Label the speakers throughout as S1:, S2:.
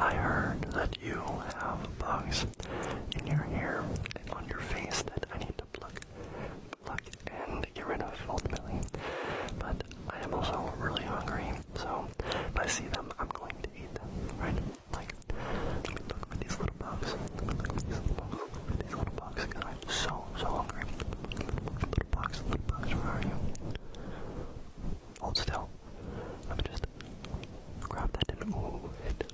S1: I heard that you have bugs in your hair on your face that I need to pluck, pluck and get rid of ultimately. But I am also really hungry, so if I see them, I'm going to eat them, right? Like, these little bugs. these little bugs. these little bugs, because I'm so, so hungry. Little bugs, little bugs, where are you? Hold still. Let me just grab that and move it.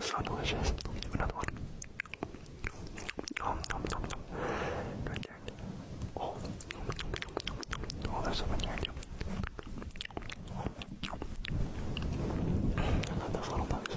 S1: So delicious. Another one. Nom, nom, nom, Oh.
S2: Oh, there's someone here too. I love those little bugs.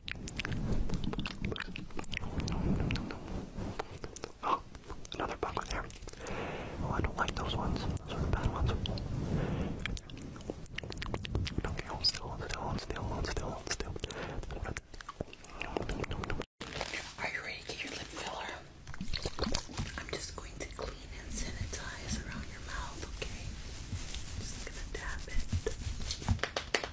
S1: Oh, another buck there. Oh, I don't like those ones. Those are the bad ones. Okay, hold still, hold still, hold still, hold still, hold still. Are you ready to get your lip filler? I'm just going to clean and sanitize around your mouth, okay? just gonna dab it.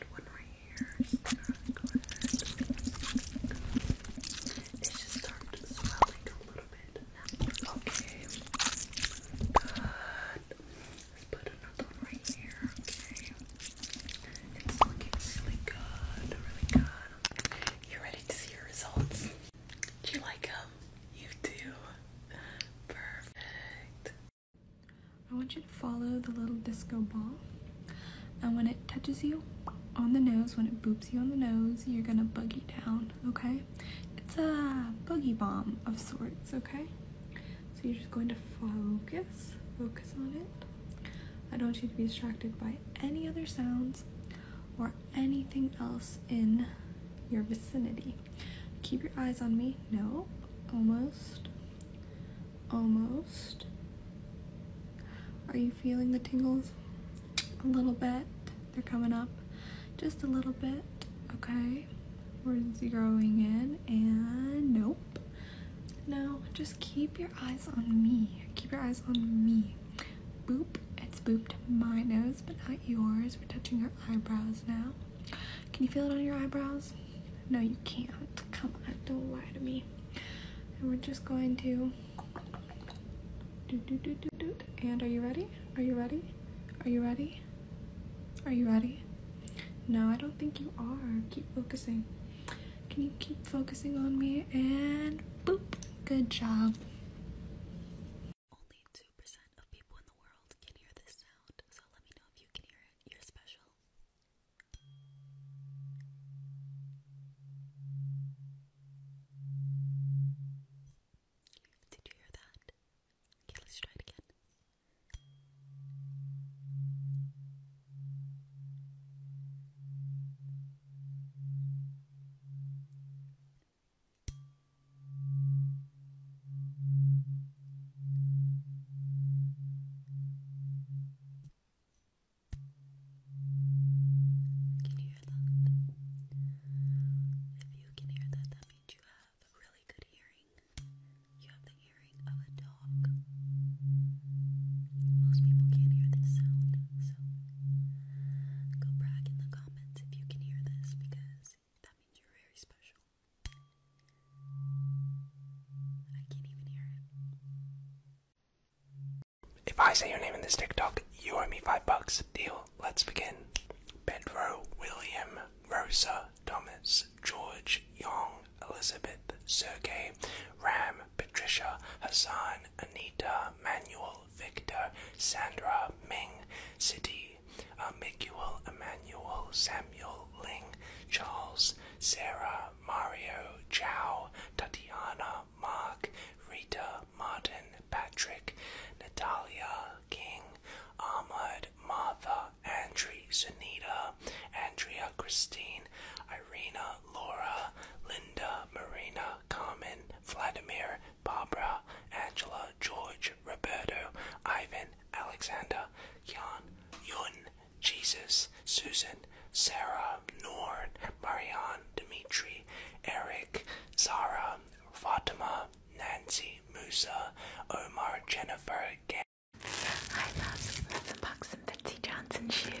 S1: and one right here. It's just started swelling a little bit Okay. Good. Let's put another one right here. Okay. It's looking really good, really good. You ready to see your results? Do you like them? You do. Perfect.
S3: I want you to follow the little disco ball. And when it touches you on the nose, when it boops you on the nose, you're gonna boogie down, okay? It's a boogie bomb of sorts, okay? So you're just going to focus, focus on it. I don't want you to be distracted by any other sounds or anything else in your vicinity. Keep your eyes on me. No, almost. Almost. Are you feeling the tingles? A little bit. They're coming up just a little bit. Okay. We're going in and nope. No. just keep your eyes on me. Keep your eyes on me. Boop. It's booped my nose, but not yours. We're touching your eyebrows now. Can you feel it on your eyebrows? No, you can't. Come on, don't lie to me. And we're just going to do do do do do. And are you ready? Are you ready? Are you ready? Are you ready? No, I don't think you are. Keep focusing. Can you keep focusing on me? And boop. Good
S1: job. Only 2% of people in the world can hear this sound, so let me know if you can hear it. You're special. Did you hear that? Okay, let's try it again. Okay, can you hear that? If you can hear that, that means you have really good hearing. You have the hearing of a dog. Most people can't hear this sound, so go brag in the comments if you can hear this because that means you're very special.
S2: If I say your name in this TikTok, you owe me five bucks. Deal. Let's begin. Pedro, William, Rosa, Thomas, George, Young, Elizabeth, Sergey, Ram, Patricia, Hassan, Anita, Manuel, Victor, Sandra, Ming, City, Amiguel, Emmanuel, Samuel, Ling, Charles, Sarah, Mario, Chow, Tatiana, Mark, Rita, Martin, Patrick, Natalia, King, Ahmad, Martha, Andri, Sunita, Andrea, Christine, Irina, Laura, Linda, Marina, Carmen, Vladimir, Barbara, Angela, George, Roberto, Ivan, Alexander, Kian, Yun, Jesus, Susan, Sarah, Norn, Marianne, Dimitri, Eric, Zara, Fatima, Nancy, Musa, Omar, Jennifer, Gay. I love some the box and Betsy Johnson shoes.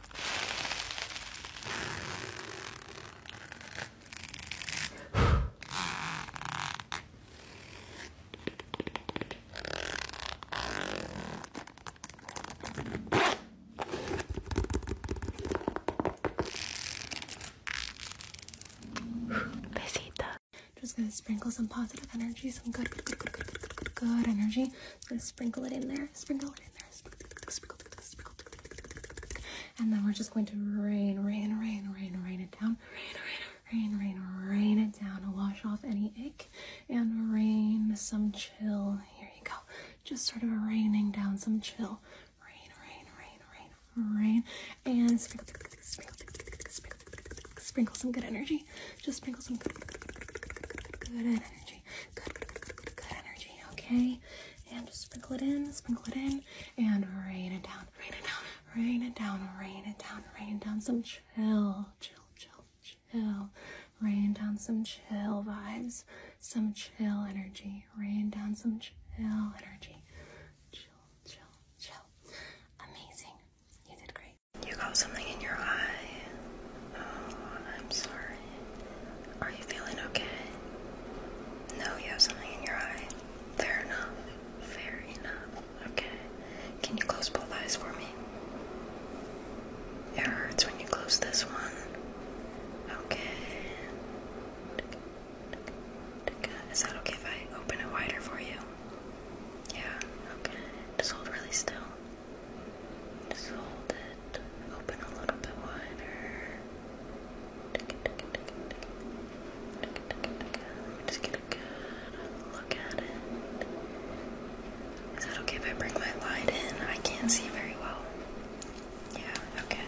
S3: Besita. Just gonna sprinkle some positive energy, some good, good, good, good, good, good, good, good energy just gonna sprinkle it in there, sprinkle it in there, sprinkle, and then we're just going to rain, rain, rain, rain, rain it down, rain, rain, rain, rain it down, wash off any ick, and rain some chill. Here you go, just sort of raining down some chill. Rain, rain, rain, rain, rain, and sprinkle, sprinkle, sprinkle some good energy. Just sprinkle some good, good, good, good, good energy. Good, energy. Okay, and sprinkle it in, sprinkle it in, and rain it down, rain it down, rain it down, rain it down, rain it down. Some chill, chill, chill, chill. Rain down some chill vibes, some chill energy. Rain down some
S1: chill energy. Chill, chill, chill. Amazing. You did great. You got something in your eye. Oh, I'm sorry. Are you feeling okay? No, you have something in your eye. Fair enough. Fair enough. Okay. Can you close both eyes for me? It hurts when you close this one. Okay. Is that okay if I open it wider for you? Yeah, okay. Just hold really still. Just hold it open a little bit wider. Just get a good look at it. Is it okay if I bring my light in? I can't see very well. Yeah, okay.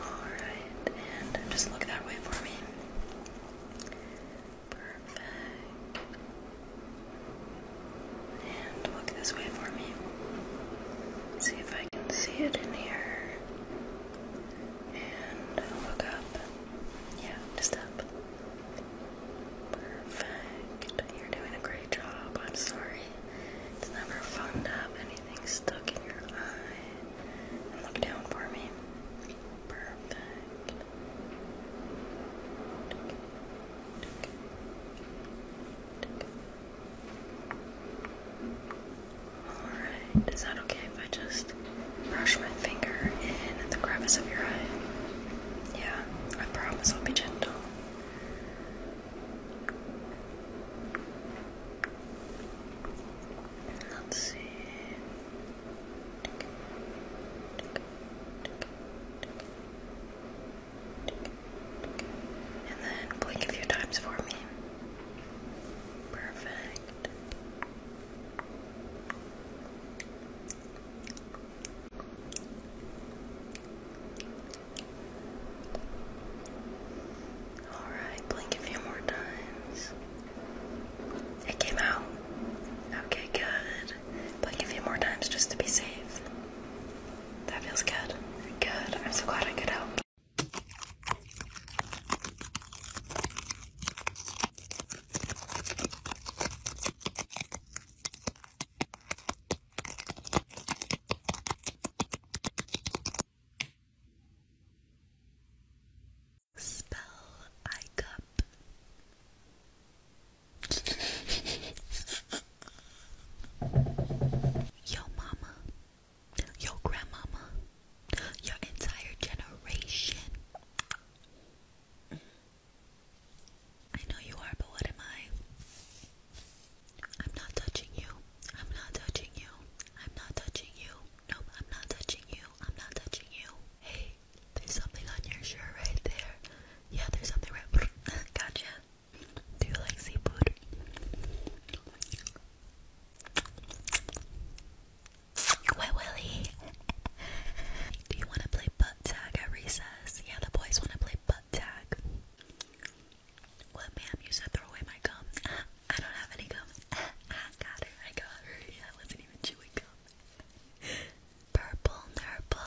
S1: Alright, and just look that way for me. Perfect. And look this way for me. See if I can see it in here. And look up. Yeah, just up. Perfect. You're doing a great job. I'm sorry. It's never fun to have anything stuck in your eye. look down for me. Perfect. Alright, is that okay if I just brush my finger in the crevice of your eye? Yeah, I promise I'll be gentle. Let's see. And then blink a few times for me. Perfect. Alright, blink a few more times. It came out. Okay, good. Blink a few more times just to be safe. That feels good. Good. I'm so glad I could help. Spell I cup. Yo mama, yo grandmama, your entire generation. I know you are, but what am I? I'm not touching you. I'm not touching you. I'm not touching you. Nope, I'm not touching you. I'm not touching you. Hey, there's something on your shirt right there. Yeah, there's something right. gotcha. Do you like seafood? Wet Willie. Do you want to play butt tag at recess? Yeah, the boys want to play butt tag. What, ma'am? You said throw away my gum. I don't have any gum. Ah, got it. I got her. I wasn't even chewing gum. Purple purple.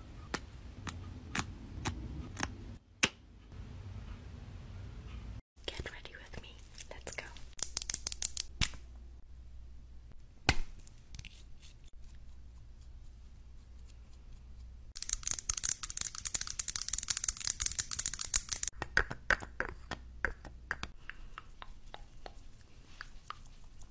S1: Get ready with me. Let's go.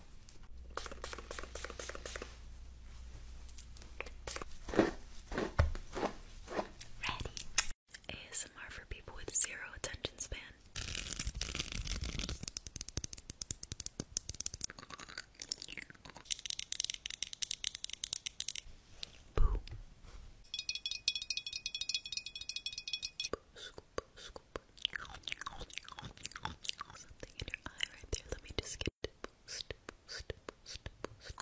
S1: Ready. ASMR for people with zero attention span. Boo scoop. Something in your eye right there. Let me just get it. Boost, boost, boost, boost.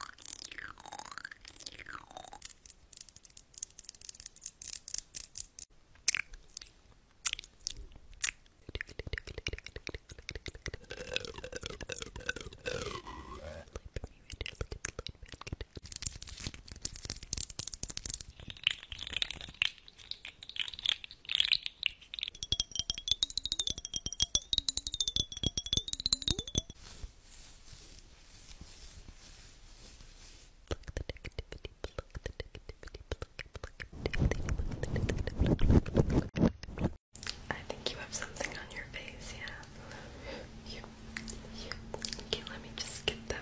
S1: Look at the light band, Pluck the negativity, pluck the negativity, pluck, pluck, negativity. I think you have something on your face, yeah. You, you, okay, let me just get that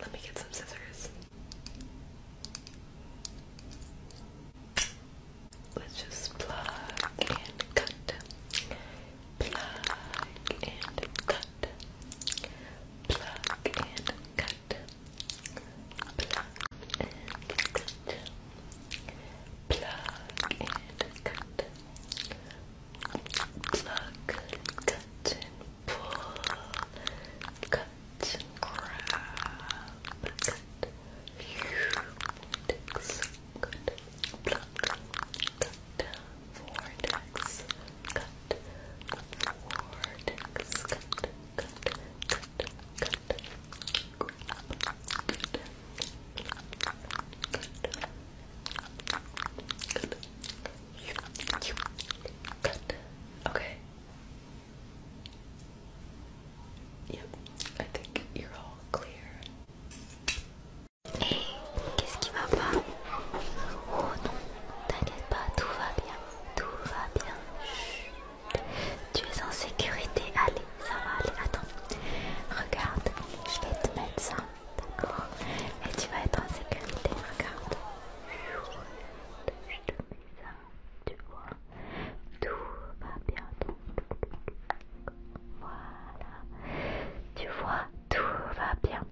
S1: let me get some scissors.
S2: Let's just plug and cut. Plug and cut. Plug and cut. Pluck. Pluck cut. Pluck and cut. Pluck, cut and pull. Cut and grab. Cut. Vortex. Cut. Vortex. Cut. Vortex. Cut cut, okay. Yep, I think you're all clear. Hey, qu'est-ce Oh non, t'inquiète pas, tout va bien, tout va Tu es en sécurité, allez, ça va aller, attends. Regarde, je vais te mettre ça, d'accord Et tu vas être en sécurité, regarde. Je te mets ça, tu vois. Tout va bien, Voilà. Tu vois, tout va bien.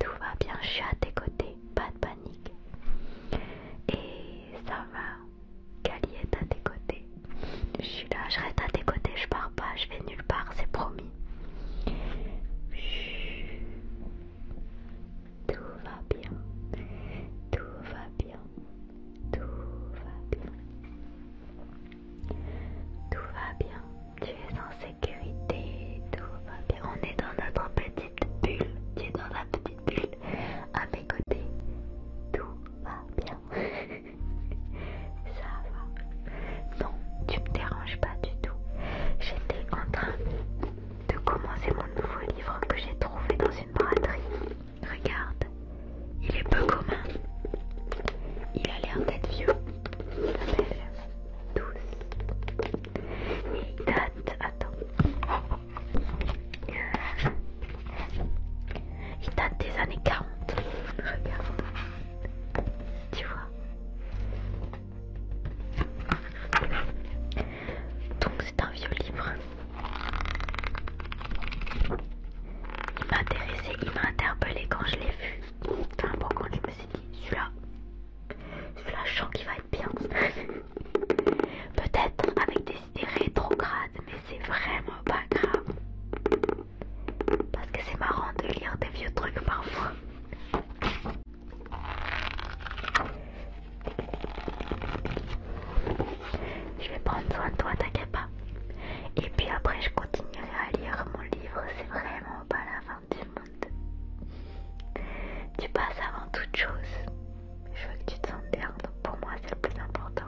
S2: Tout va bien, je suis à tes côtés, pas de panique. Et ça va Kali est à tes côtés. Je suis là, je reste à tes côtés, je pars pas, je vais nulle part, c'est promis. Tout va bien, tout va bien, tout va bien. Tout va bien, tu es en sécurité, tout va bien. On est dans notre petit petite bulle dans la petite bulle à mes côtés. Tout va bien. Ça va. Non, tu me déranges pas du tout. J'étais en train de commencer mon nouveau livre que j'ai trouvé dans une braderie. Regarde, il est peu commun. Il a l'air d'être vieux. Il Douce. Il date. Attends. Il date des années 40. Regarde. Tu vois. Donc c'est un vieux livre. Il m'a intéressé, il m'a interpellé quand je l'ai vu. Enfin bon quand je me suis dit, celui-là, celui-là je sens qu'il va Peut-être avec des idées rétrogrades, mais c'est vraiment pas grave. Parce que c'est marrant de lire des vieux trucs parfois. Je vais prendre soin de toi, t'inquiète pas. Et puis après, je continuerai à lire mon livre. C'est vraiment pas la fin du monde. Tu passes avant toute chose. Je veux que tu te sentes bien, donc pour moi c'est le plus important.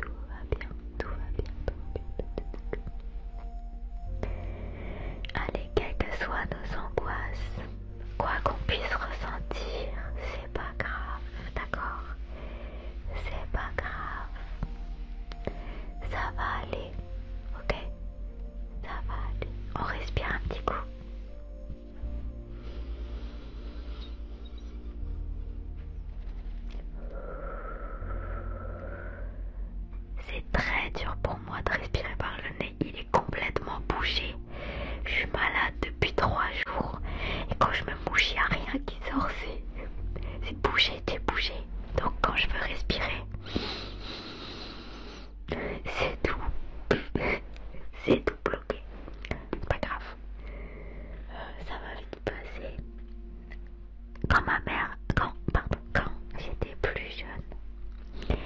S2: Tout va bien, tout va bien, tout va bien. Allez, quelles que soient nos angoisses, quoi qu'on puisse ressentir, c'est pas grave, d'accord C'est pas grave. Ça va aller, ok ça va On respire un petit coup. C'est très dur pour moi de respirer par le nez. Il est complètement bougé. Je suis malade depuis trois jours. Et quand je me mouche, il n'y a rien qui sort. C'est bouché, c'est bougé. Donc quand je veux respirer, c'est tout. C'est tout bloqué. pas grave. Euh, ça va vite passer. Quand ma mère... Quand, quand j'étais plus jeune,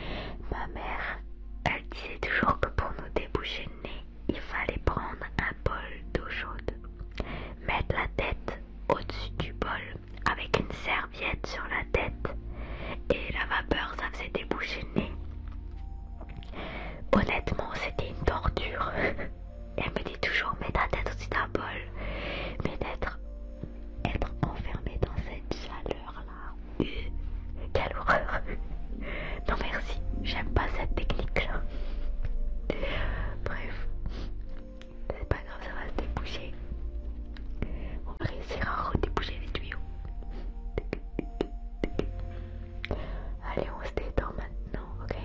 S2: ma mère, elle disait toujours que pour nous déboucher le nez, il fallait prendre un bol d'eau chaude, mettre la tête au-dessus du bol avec une serviette sur la tête et la vapeur ça faisait déboucher le nez. Honnêtement c'était une torture. Elle me dit toujours mets ta tête au un bol. Mais d'être être enfermée dans cette chaleur là. Euh, quelle horreur. Non merci, j'aime pas cette technique là. Bref, c'est pas grave, ça va se déboucher. On va réussir à redéboucher les tuyaux. Allez, on se détend maintenant, ok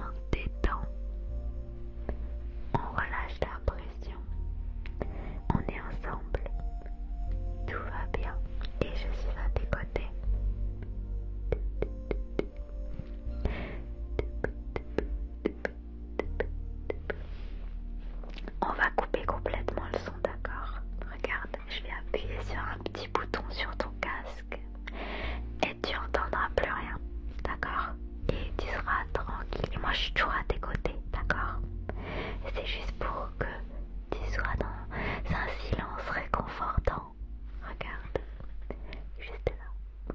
S2: On se détend. On relâche la pression. On est ensemble. Tout va bien. Et je suis à tes côtés. On va couper complètement le son, d'accord Regarde, je vais appuyer sur un petit bouton sur ton casque et tu n'entendras plus rien, d'accord Et tu seras tranquille. Et moi, je suis toujours à tes côtés, d'accord C'est juste pour que tu sois dans un silence réconfortant. Regarde, juste là.